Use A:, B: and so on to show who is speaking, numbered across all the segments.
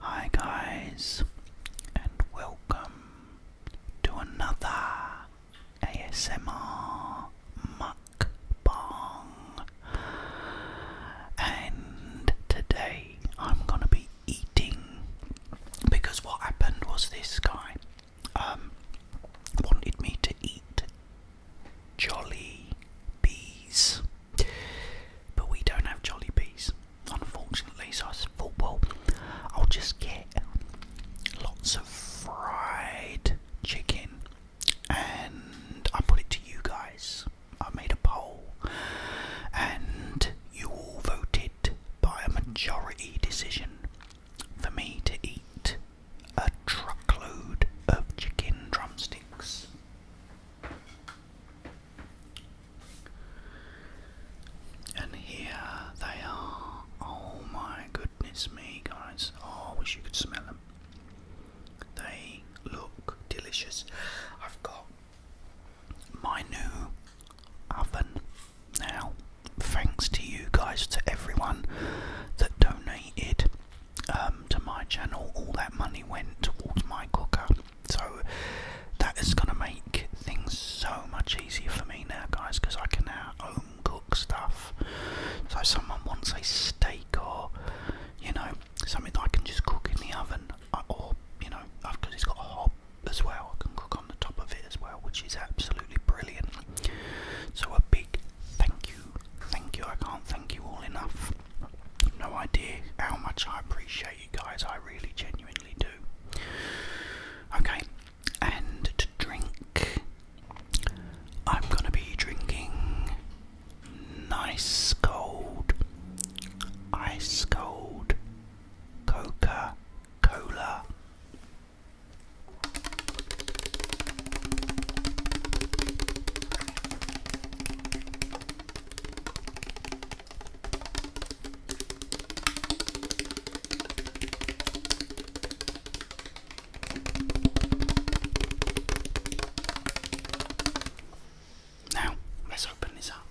A: Hi, guys, and welcome to another ASMR bong. And today I'm going to be eating because what happened was this guy um, wanted me to eat jolly bees, but we don't have jolly bees, unfortunately. So I thought, I'll just get lots of fried chicken and I put it to you guys. I made a poll, and you all voted by a majority decision for me to eat a truckload of chicken drumsticks. And here they are. Oh my goodness me, guys. Oh, I wish you could smell them. They look delicious. I've got my new oven now. Thanks to you guys, to everyone that donated um, to my channel. All that money went towards my cooker. So that is going to make things so much easier for me now, guys, because I can now home cook stuff. So someone wants a steak or, you know, something that I can just cook in the oven, uh, or you know, because uh, it's got a hob as well, I can cook on the top of it as well, which is absolutely brilliant. So a big thank you, thank you. I can't thank you all enough. No idea how much I appreciate you guys. I really genuinely do. Okay, and to drink, I'm gonna be drinking Nice cold, ice cold, Coca Cola. Now, let's open this up.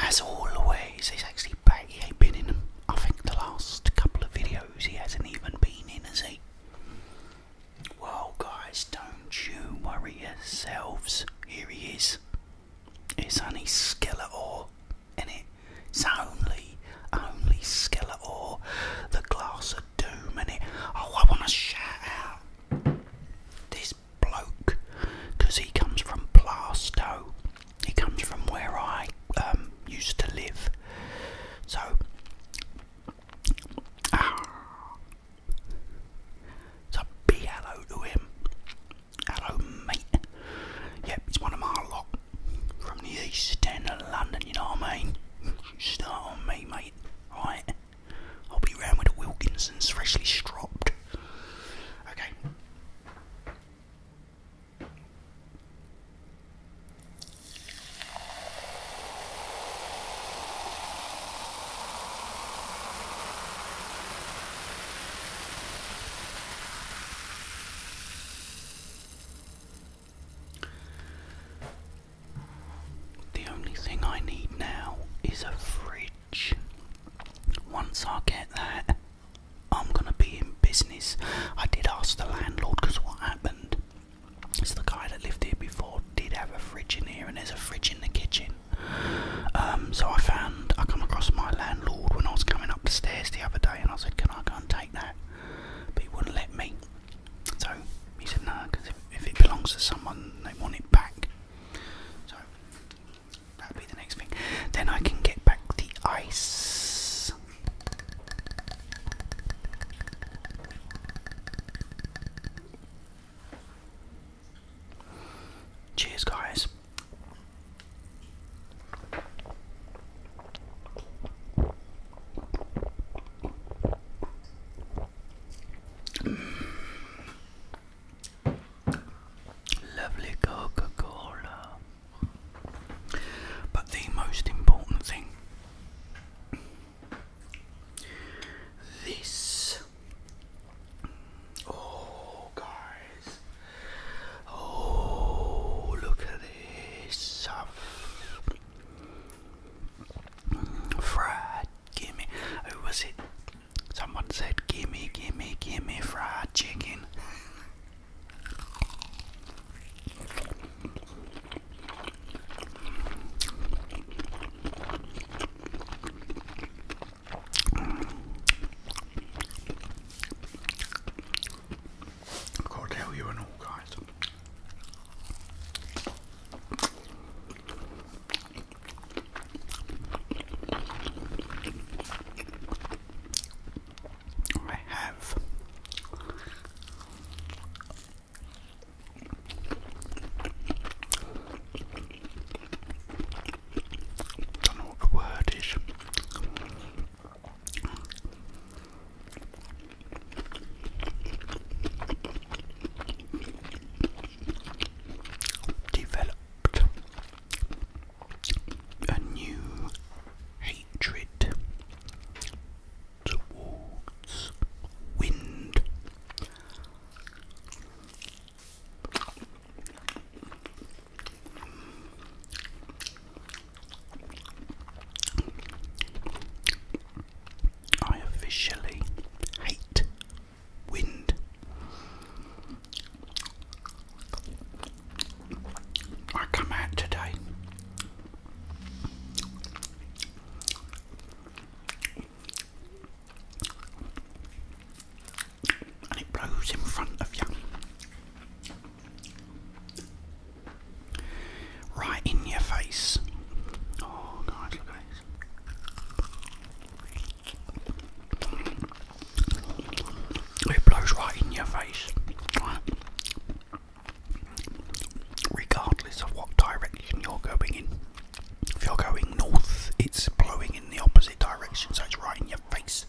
A: As always, he's actually Baggy been in I think the last couple of videos he hasn't even been in, has he? Well, guys, don't you worry yourselves. Here he is. It's only Skeletor, in It's only, only Skeletor, the glass of doom, in it. Oh, I want to shout out this bloke because he comes from Plasto. He comes from where I um, used to live. So Ah. So be hello to him. Hello, mate. Yep, it's one of my lot from the east end of London, you know what I mean? Start on me, mate. Alright? I'll be round with the Wilkinsons freshly stropped. Okay. The only thing I need now is a fridge. Once I get that, I'm gonna be in business. I did ask the landlord because what happened so the guy that lived here before did have a fridge in here, and there's a fridge in the kitchen. Um, so I found I come across my landlord when I was coming up the stairs the other day, and I said, "Can I go and take that?" But he wouldn't let me. So he said, "No, because if, if it belongs to someone, they want it back." So that'll be the next thing. Then I can get back the ice Cheers, guys. Lovely Coca Cola. But the most important thing this. Oh, guys. Oh, look at this. Fried, gimme. Who was it? Someone said, gimme, gimme, gimme fried chicken. I've you and all, guys. I have don't know what the word is. Developed a new hatred towards wind. I officially hate wind. I come out today it blows in front of you. Right in your face. Oh god, look at this. It blows right in your face regardless of what direction you're going in. If you're going north, it's blowing in the opposite direction, so it's right in your face.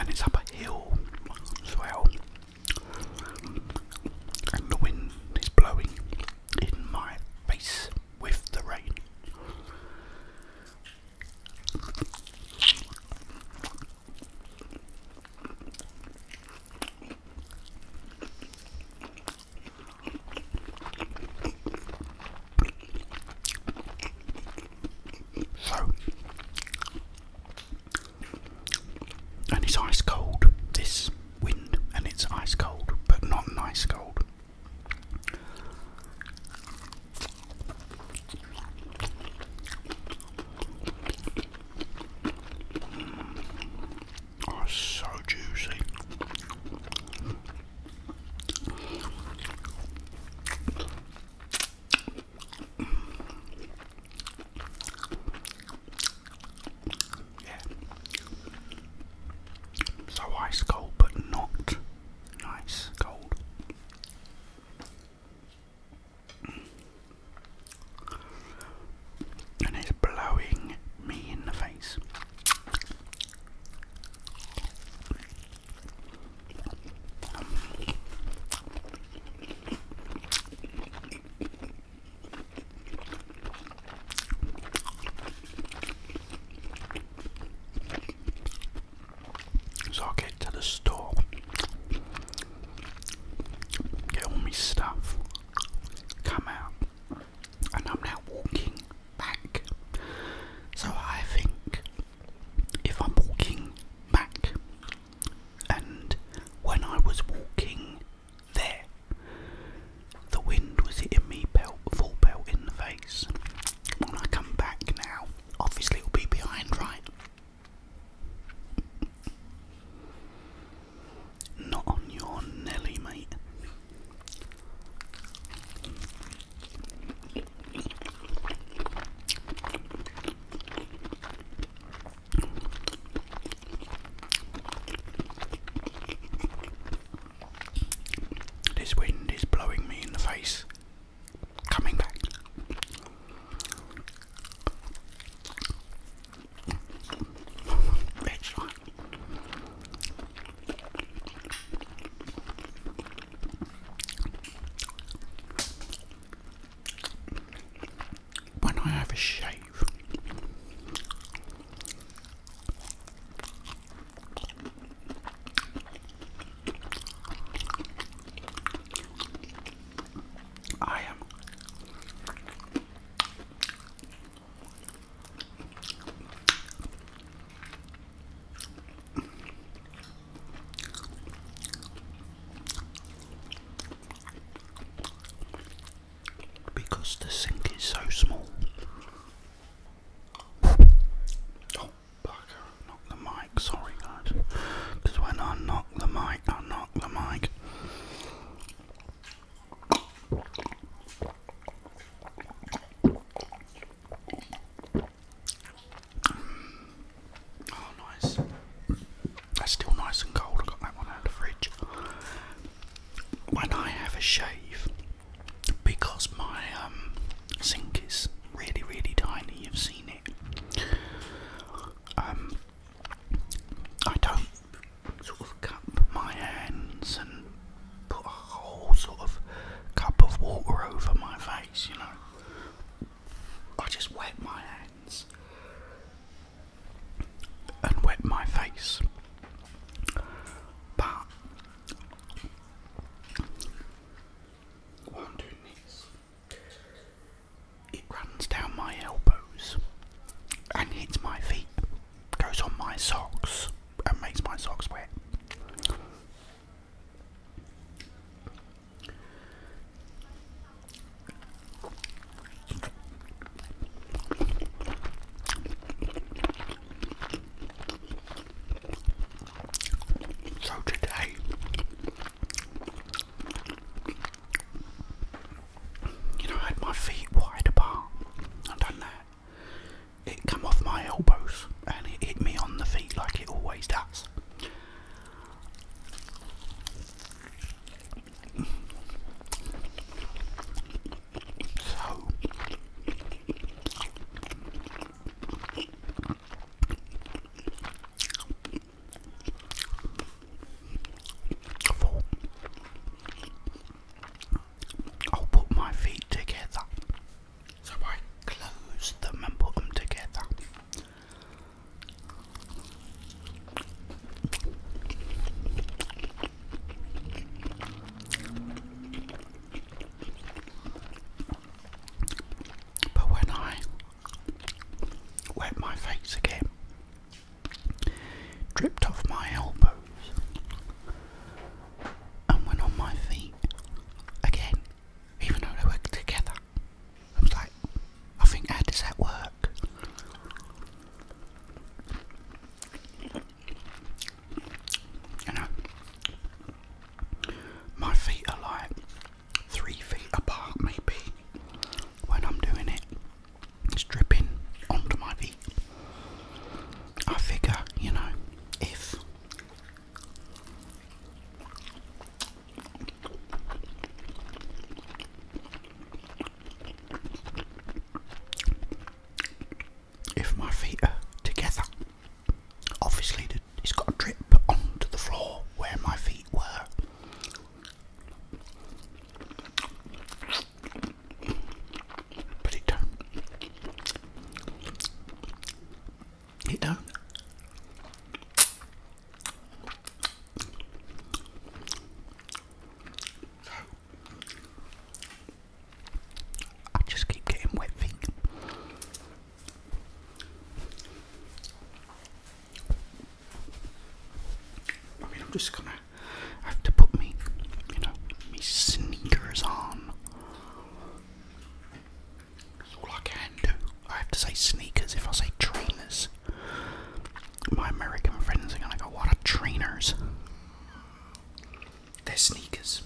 A: and it's up as well and the wind is blowing in my face with the rain. So and it's ice cold. This wind, and it's ice cold, but not an ice cold. Mm. Oh, so juicy. Yeah. So ice cold, but not nice cold. And it's blowing me in the face. So I'll get to the store, get all my stuff, come out, and I'm now walking back. So I think if I'm walking back and when I was walking there, the wind was hitting me pelt, full belt in the face. When I come back now, obviously we will be behind, right? Not on your Nelly, mate. This wind is blowing me in the face. Coming back when I have a shave, I am because the sink is so small. Oh, bugger, knock the mic, sorry guys. Because when I knock the mic, I knock the mic. Oh, nice. That's still nice and cold. I got that one out of the fridge. When I have a shave, because my um, sink is really, really tiny, you've seen it. Um, I don't sort of cup my hands and put a whole sort of cup of water over my face, you know. I just wet my hands and wet my face. But while I'm doing this, it runs down my elbows and hits my feet, goes on my socks and makes my socks wet. So today you know I had my feet wide apart. I done that. It come off my elbows and it hit me on the feet like it always does. So i I'll put my feet together. So I close them and put them together. But when I wet my face again, dripped off my elbows, and went on my feet again, even though they were together. I was like, I think, how does that work? You know, my feet are like three feet apart, maybe, when I'm doing it. It's dripping onto my feet. I figure, you know, if if my feet are together, obviously it's got to drip onto the floor where my feet were. But it don't. I just keep getting wet feet. I mean, I'm just gonna have to put me, you know, me sneakers on all I can do. I have to say sneakers if I say trainers. My American friends are gonna go, what are trainers? They're sneakers.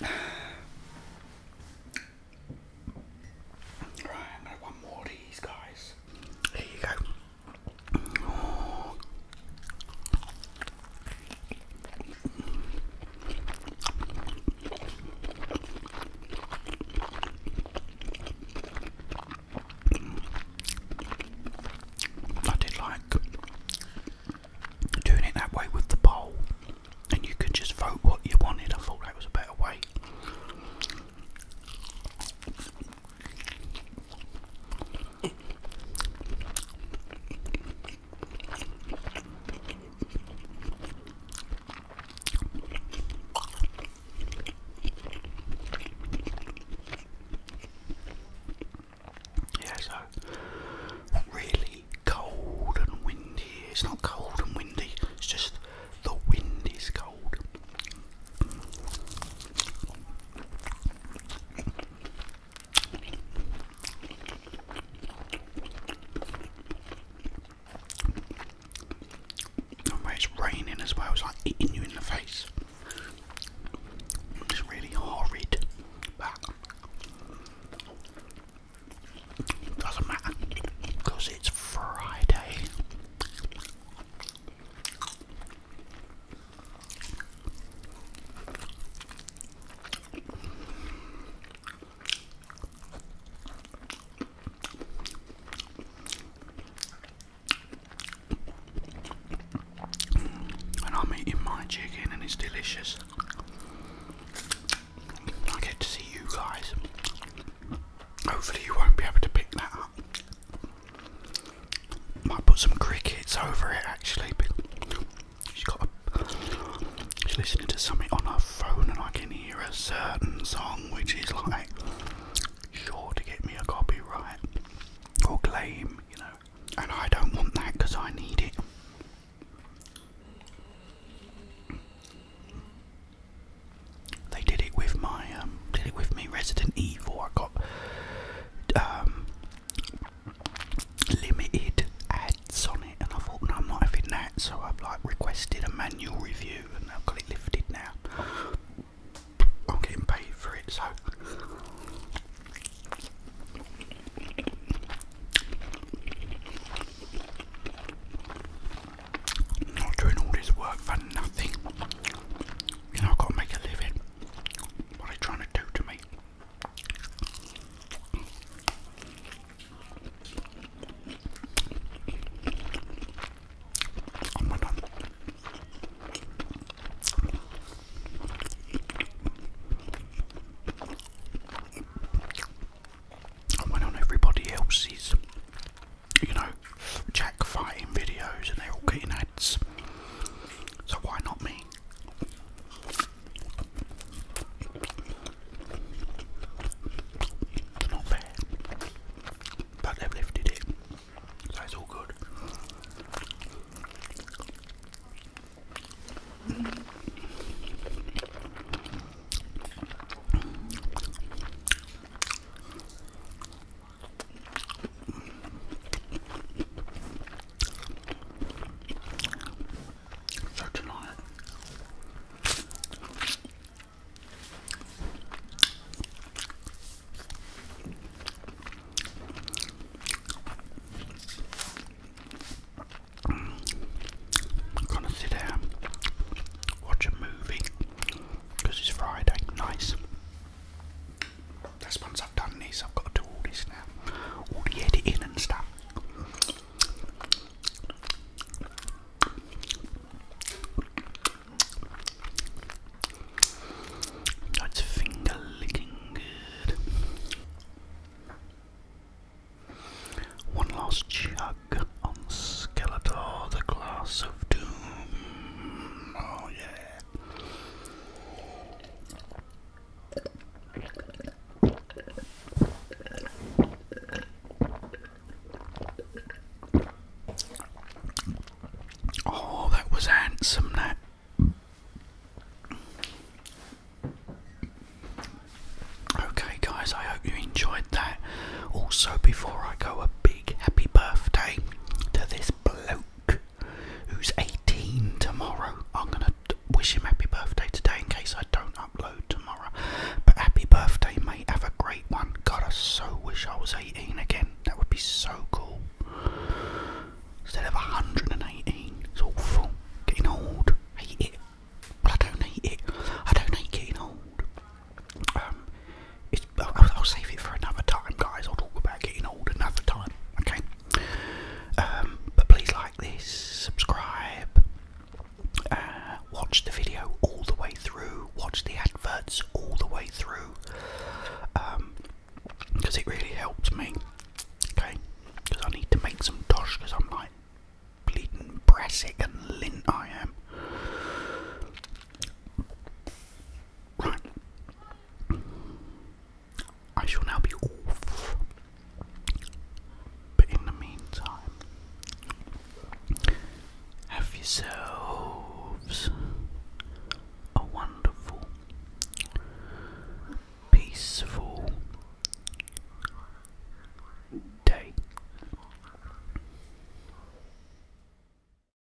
A: Right, I'm gonna one more of these guys. There you go. I did like doing it that way with the poll, and you could just vote what you wanted. I thought that was a better way. Yeah, so really cold and windy. It's not cold and windy, it's just the wind is cold it's raining as well, it's like eating you in the face. It's really horrid, doesn't matter because it's Friday. And I'm eating my chicken, and it's delicious. I get to see you guys. Hopefully, you won't be able to pick that up. Might put some crickets over it actually. She's got. A, she's listening to something on her phone, and I can hear a certain song, which is like sure to get me a copyright or claim, you know. And I don't want that because I need it. They did it with my um, did it with me Resident Evil. I got um, limited ads on it, and I thought, no, I'm not having that. So I've like requested a manual review, and I've got it lifted now. I'm getting paid for it, so. I'm not doing all this work for nothing. You know, I've got to make a living. What are they trying to do to me? Oh my god. I went on everybody else's, you know, Jack fighting videos and they're all getting ads. So why not me? It's not fair. But they've lifted it. So it's all good. I'm gonna sit down, watch a movie, it's Friday, nice. That's once I've done this, I've got to do all this now, all the editing and stuff. That's finger licking good. One last chug on Skeletor, the glass of doom. Oh yeah. Oh, that was handsome, that. Okay, guys, I hope you enjoyed that. Also, before I go, a big happy birthday to this bloke who's 18 tomorrow. I'm gonna wish him happy birthday today in case I don't upload tomorrow. But happy birthday, mate. Have a great one. God, I so wish I was 18 again. That would be so cool. Instead of 118, it's awful. Getting old. Hate it. Well, I don't hate it. I don't hate getting old. Um, I'll, save it for another time, guys. I'll talk about getting old another time, okay? Um, but please like this, subscribe, uh, watch the video all the way through, watch the adverts all the way through, because um, it really helps me, okay? Because I need to make some dosh, because I'm like bleeding brassic and lint I am. I shall now be off. But in the meantime, have yourselves a wonderful, peaceful day.